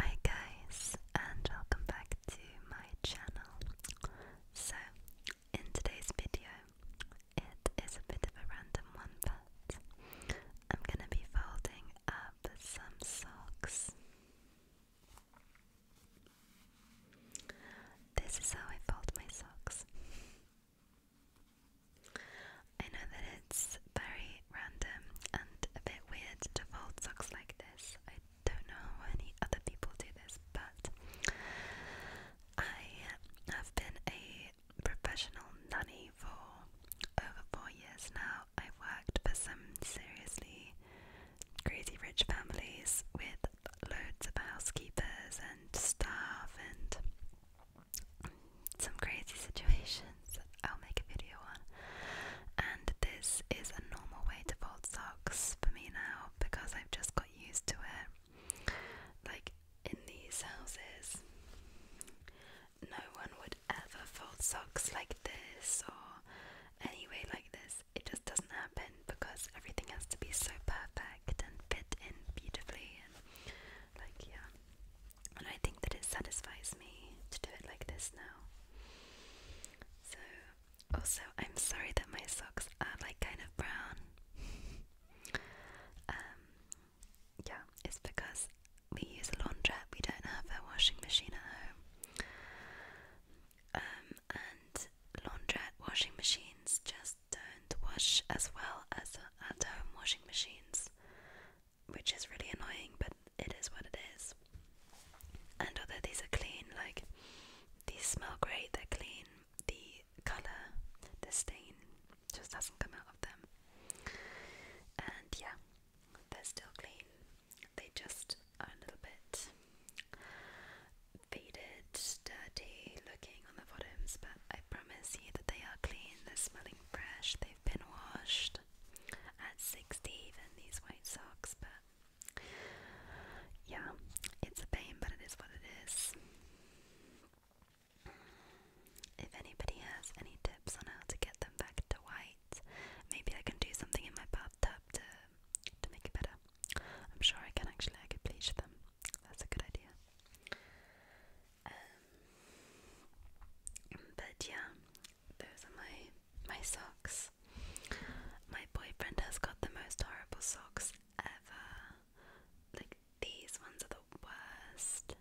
Hi guys and welcome back to my channel. So in today's video it is a bit of a random one but I'm gonna be folding up some socks. This is how I fold my socks. I know that it's very random and a bit weird to fold socks like this. I don't know how any other people do this, but I have been a professional nanny for over four years now. I've worked for some seriously crazy rich families with loads of housekeepers and staff and some crazy situations I'll make a video on. And this is a normal way to fold socks for me now because I've just got used to it. Like in these houses, no one would ever fold socks like this or any way like this. It just doesn't happen because everything has to be so perfect and fit in beautifully and like yeah and I think that it satisfies me to do it like this now. So, also, I'm sorry that my socks are like kind of brown. um, yeah, it's because we use a laundrette, we don't have a washing machine at home. Um, and laundrette washing machines just don't wash as well as at home washing machines which is really annoying, but it is what it is. And although these are clean, like these smell great, they're clean, the colour, the stain just doesn't come out of them. And yeah, they're still clean. They just are a little bit faded, dirty looking on the bottoms, but I promise you that they are clean, they're smelling fresh, been washed at 60 even these white socks but yeah it's a pain but it is what it is if anybody has any tips on how to get them back to white maybe I can do something in my bathtub to to make it better I'm sure I can actually I could bleach them that's a good idea um, but yeah, those are my my socks. My boyfriend has got the most horrible socks ever. Like these ones are the worst.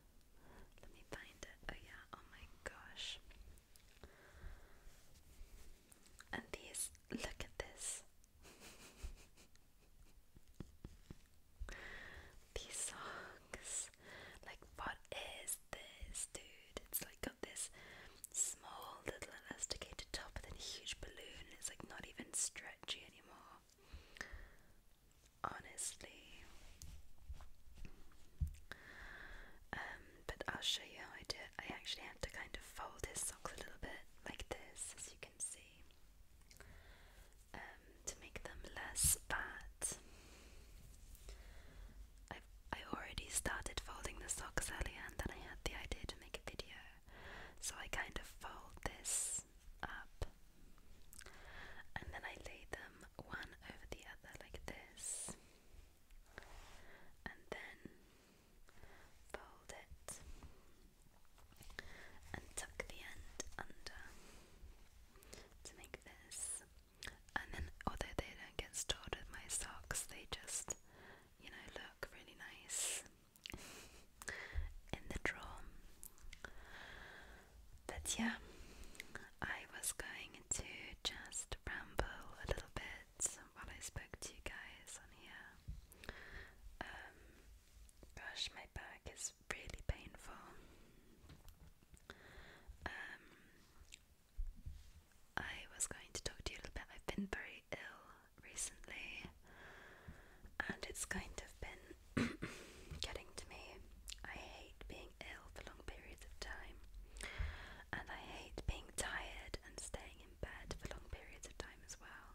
Let me find it. Oh yeah. Oh my gosh. And these. Look at this. These songs, like, what is this, dude? It's like got this small little elasticated top and then huge balloon. It's like not even stretchy anymore. Honestly. Um, but I'll show you how I do it. I actually had to kind of fold his socks a little bit, like this, as you can see. Um, to make them less fat. I I already started folding the socks earlier, and then I had the idea to make a video, so I kind of fold this up, and then I lay them one over the other like this, and then fold it and tuck the end under to make this. And then, although they don't get stored with my socks, they just, you know, look really nice in the drawer. But yeah, I was going to just ramble a little bit while I spoke to you guys on here. Um, my back is really painful. Um, I was going to talk to you a little bit. I've been very ill recently, and it's kind of been getting to me. I hate being ill for long periods of time, and I hate being tired and staying in bed for long periods of time as well.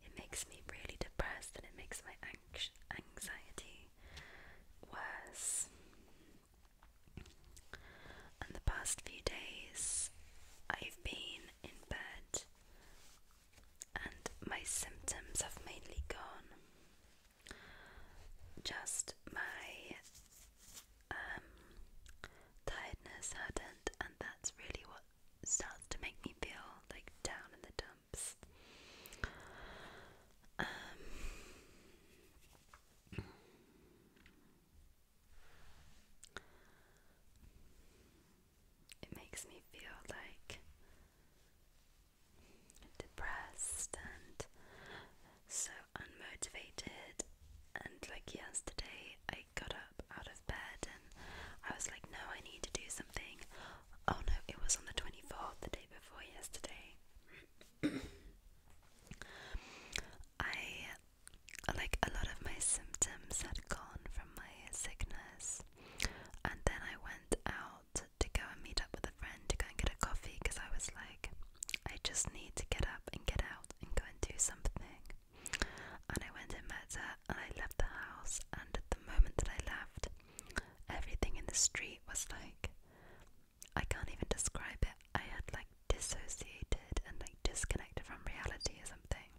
It makes me really depressed and it makes my anx anxiety was, And the past few days, I've been in bed and my symptoms have mainly gone. Just my um, tiredness hadn't, and that's really what starts to make me feel like down in the dumps camps. Um, it makes me feel like depressed and so unmotivated. And like yesterday, I got up out of bed and I was like, no, I need to do something. Oh no, it was on the 24th, the day before yesterday. I, like, a lot of my symptoms had gone from my sickness, and then I went out to go and meet up with a friend to go and get a coffee because I was like, I just need to get up and get out and go and do something. And I went and met her, and I left the house. And at the moment that I left, Everything in the street was like I can't even describe it. I had like dissociated and like disconnected from reality or something.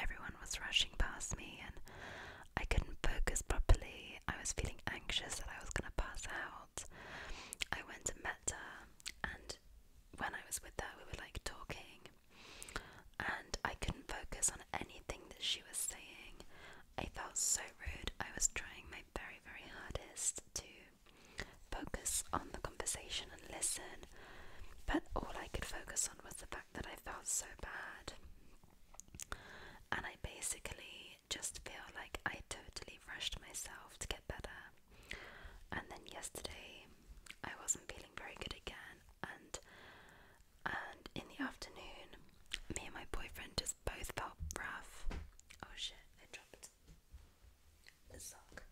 Everyone was rushing past me and I couldn't focus properly. I was feeling anxious that I was going to pass out. I went and met her, and when I was with her, we were like talking, and I couldn't focus on anything that she was saying. I felt so rude. I was trying my very, very hardest to focus on the conversation and listen, but all I could focus on was the fact that I felt so bad. And I basically just feel like I totally rushed myself to get better. And then yesterday, I wasn't feeling very good again, and and in the afternoon, me and my boyfriend just both felt rough. Oh shit, I dropped the sock.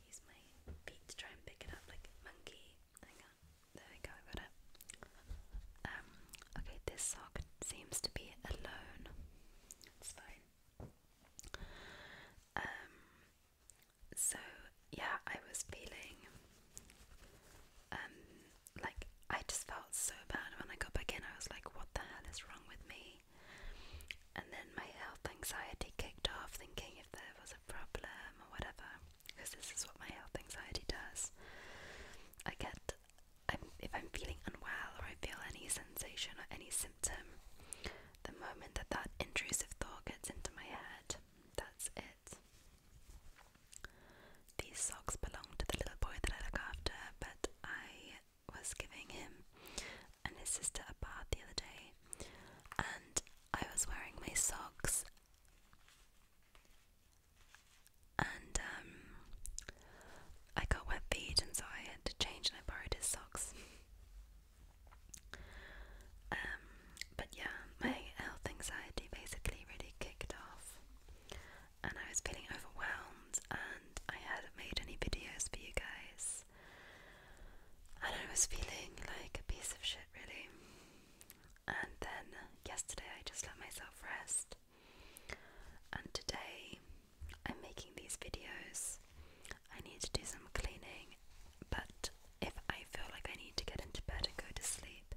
Use my feet to try and pick it up like monkey. Hang on, there we go, I got it. Um, okay, this sock seems to be alone. It's fine. Um, so yeah, I was feeling um like I just felt so bad when I got back in. I was like, what the hell is wrong with me? And then my health anxiety kicked off, thinking if there was a problem or whatever, because this is what my health anxiety does. I get, I'm, if I'm feeling unwell or I feel any sensation or any symptom, the moment that that intrusive thought gets into my head, that's it. These socks belonged to the little boy that I look after, but I was giving him and his sister a bath the other day, and I was wearing my socks. And um, I got wet feet, and so I had to change, and I borrowed his socks. um, but yeah, my health anxiety basically really kicked off, and I was feeling overwhelmed, and I hadn't made any videos for you guys, and I was feeling like a piece of shit, really. And then yesterday, I just let myself rest, and today, I'm making these videos. I need to do some cleaning, but if I feel like I need to get into bed and go to sleep,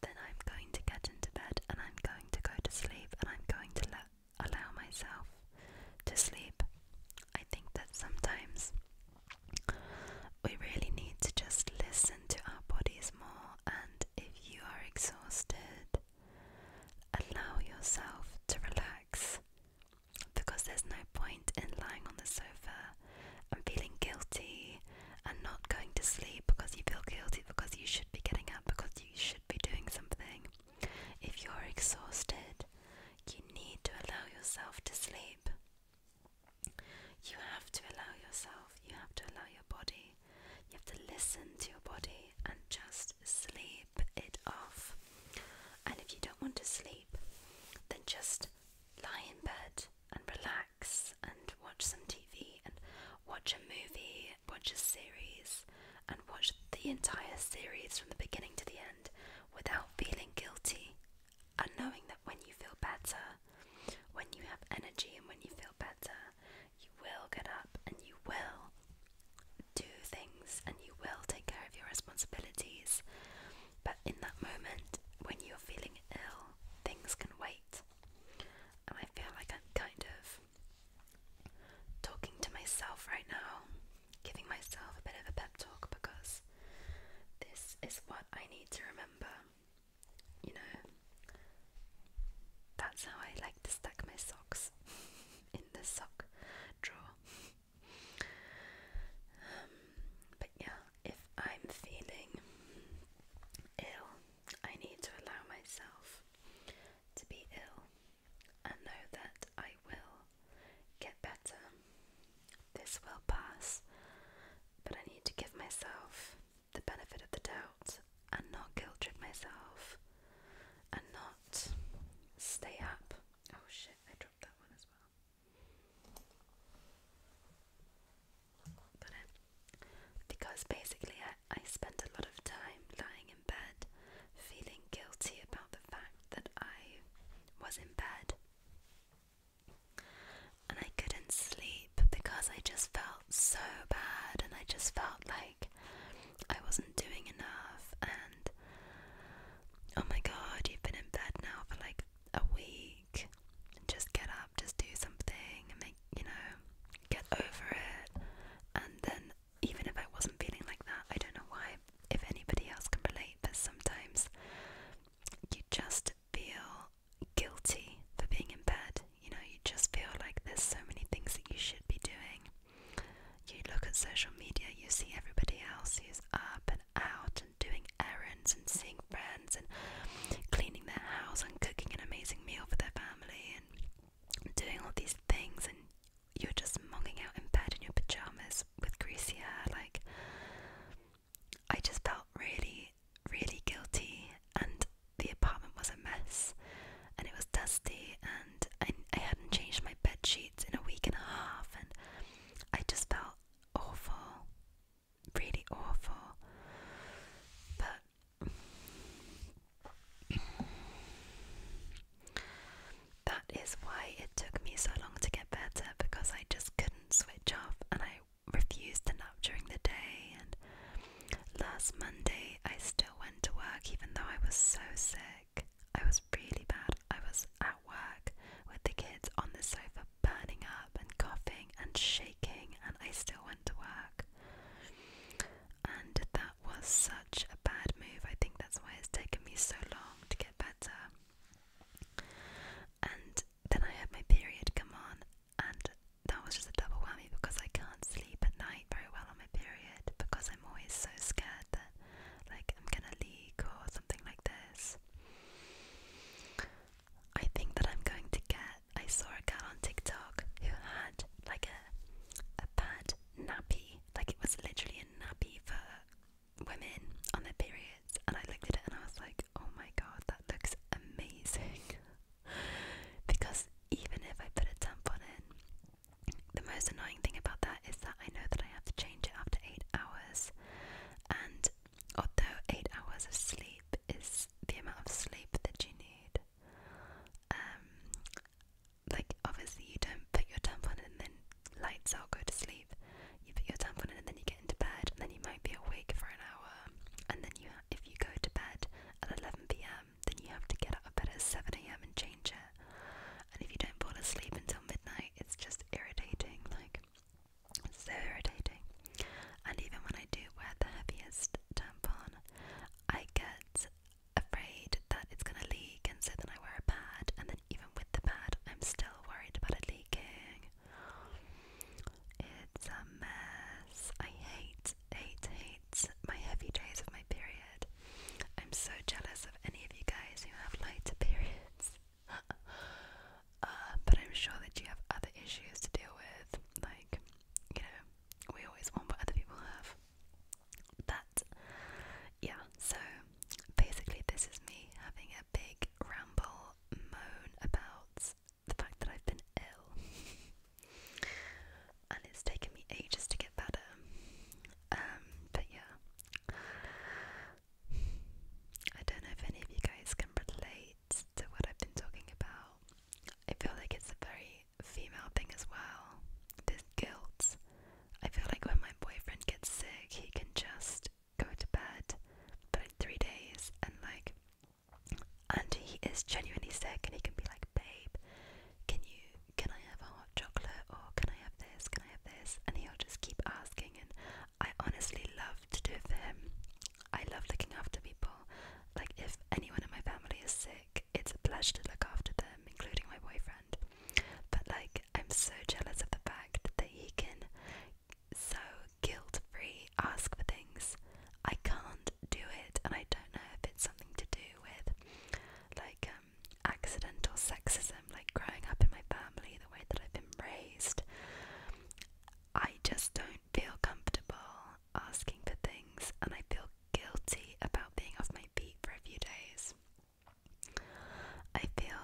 then I'm going to get into bed and I'm going to go to sleep and I'm going to let allow myself to sleep. I think that sometimes we really need to just listen to our bodies more, and if you are exhausted, allow yourself to relax because there's no point in lying on the sofa and feeling guilty and not going to sleep because you feel guilty because you should be getting up because you should be doing something. If you're exhausted, you need to allow yourself to sleep. You have to allow yourself, you have to allow your body, you have to listen to your body and just sleep it off. And if you don't want to sleep, then just lie in bed and relax and watch some TV and watch a movie, watch a series, and watch the entire series from the beginning to the end without feeling guilty and knowing that when you feel better, when you have energy and when you feel better, you will get up and you will do things and you will take care of your responsibilities. But in that moment, when you're feeling ill, things can wait. And I feel like I'm kind of talking to myself right now, giving myself a bit of a pep talk because this is what I need to remember. You know, that's how I like to stack my socks in the sock drawer. Um, but yeah, if I'm feeling ill, I need to allow myself to be ill and know that I will get better. This will pass, but I need to give myself the benefit of the doubt and not guilt trip myself and not stay up. Oh shit, I dropped that one as well. Um, because basically I, I spent a lot of time lying in bed feeling guilty about the fact that I was in bed. And I couldn't sleep because I just felt so bad and I just felt like I wasn't doing enough and oh my god, you've been in bed now for like a week week. Just get up, just do something, and make you know, get over it. And then, even if I wasn't feeling like that, I don't know why, if anybody else can relate, but sometimes you just feel guilty for being in bed. You know, you just feel like there's so many things that you should be doing. You look at social media, you see everybody else who's up and out and doing errands and seeing friends and cleaning their house and cooking an amazing meal for their family and doing all these things and you're just munging out in bed in your pajamas with greasy hair like I just felt really really guilty and the apartment was a mess and it was dusty and I, I hadn't changed my bed sheets in a week and a half and I just felt awful really awful. But that is why it took me so long to get better because I just couldn't switch off and I refused to nap during the day. And last Monday, I still went to work even though I was so sick. I was really bad. I was at work with the kids on the sofa burning up and coughing and shaking, and I still went to work. And that was such a bad move. I think that's why it's taken me so long to get better. And then I had my period come on, and that was just a double whammy because I can't sleep at night very well on my period because I'm always so scared that, like, I'm gonna leak or something like this. I think that I'm going to get. I saw a gal on TikTok who had like a a pad nappy, like it was literally a nappy for women on their periods, and I looked at it and I was like, oh my god, that looks amazing. because even if I put a tampon in, the most annoying thing about that is that I know that I have to change it after eight hours, and although eight hours of sleep is the amount of sleep that you need. Um, like obviously you don't put your tampon in and then lights out, go to sleep. You put your tampon in and then you get into bed and then you might be awake for an hour. And then you, if you go to bed at 11 p.m., then you have to get out of bed at 7 a.m. and change it. And if you don't fall asleep until midnight, it's just irritating. Like it's so irritating. And even when I do wear the heaviest tampon, I get afraid that it's going to leak, and so then I wear a pad, and then even with the pad, I'm still worried about it leaking. It's a mess. I hate, hate, hate my heavy days of my period. I'm so jealous of any of you guys who have lighter periods. uh, but I'm sure that you have other issues to deal with, like, you know, we always want what other people have. But, yeah, so basically, this is me having a big ramble moan about the fact that I've been ill. and it's taken me ages to get better. Um, but yeah. I don't know if any of you guys can relate to what I've been talking about. I feel like it's a very female thing as well. This guilt. I feel like when my boyfriend gets sick, he can just go to bed but three days and like, and he is genuinely sick, and he can be like, babe, can you, can I have a hot chocolate, or can I have this, can I have this, and he'll just keep asking, and I honestly love to do for him. I love looking after people. Like, if anyone in my family is sick, it's a pleasure to look after them, including my boyfriend. But, like, I'm so jealous of the fact that he can so guilt free ask for things. I can't do it, and I don't know if it's something to do with, like, um, accidental sexism, like growing up in my family, the way that I've been raised. I just don't feel comfortable asking for things, and I feel guilty about being off my feet for a few days. I feel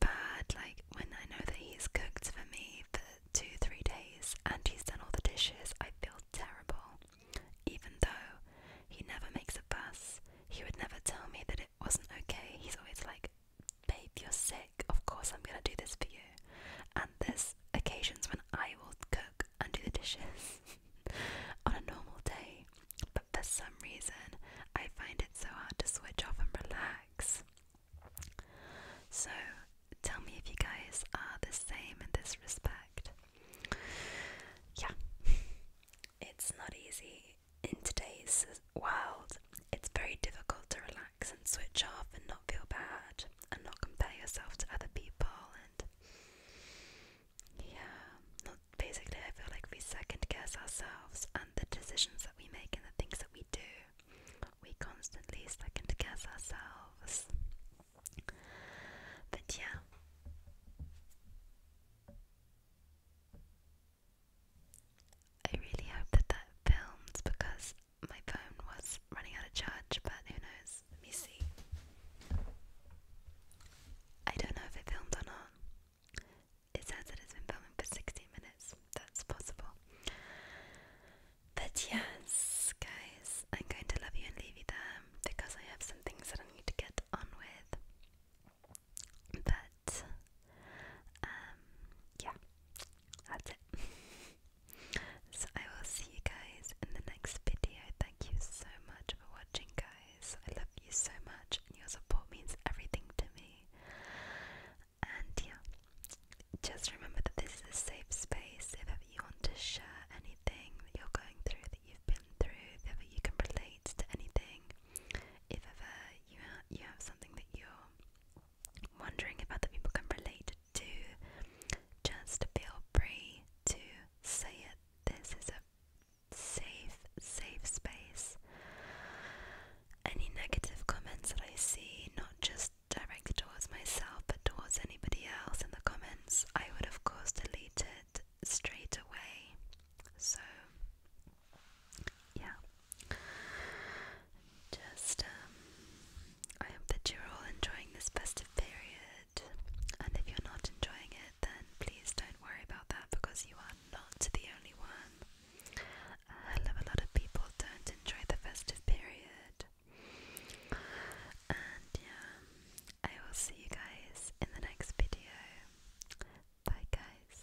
bad, like when I know that he's cooked for me for two, three days and he's done all the dishes, I feel terrible. Even though he never makes a fuss, he would never tell me that it wasn't okay. He's always like, babe, you're sick. Of course, I'm gonna do this for you. And there's occasions when I will cook and do the dishes on a normal day, but for some reason, I find it so hard to switch off and relax. So, tell me if you guys are the same in this respect. Yeah, it's not easy in today's world, it's very difficult to relax and switch off and not feel bad and not compare yourself to other people and yeah, not, basically I feel like we second guess ourselves and the decisions that we make and the things that we do. We constantly second guess ourselves. But yeah. I really hope that that filmed because my phone was running out of charge, but who knows? Let me see. I don't know if it filmed or not. It says that it's been filming for 16 minutes. That's possible. But yes, guys, I'm going to love you and leave you there because I have some things that I need to get on with. But um, yeah, that's it. so I will see you guys in the next video. Thank you so much for watching, guys. I love you so much, and your support means everything to me. And yeah, just remember that this is a safe space. If ever you want to share anything that you're going through, that you've been through, if ever you can relate to anything, if ever you you have something that you're wondering if other people can relate to, just feel free to say it. This is a safe, safe space. Any negative comments that I see, not just directed towards myself but towards anybody else in the comments, I would of course delete it straight away. So, yeah. Just, um, I hope that you're all enjoying this festive period. And if you're not enjoying it, then please don't worry about that because you are not the only one. A hell of a lot of people don't enjoy the festive period. And yeah, I will see you guys in the next video. Bye, guys.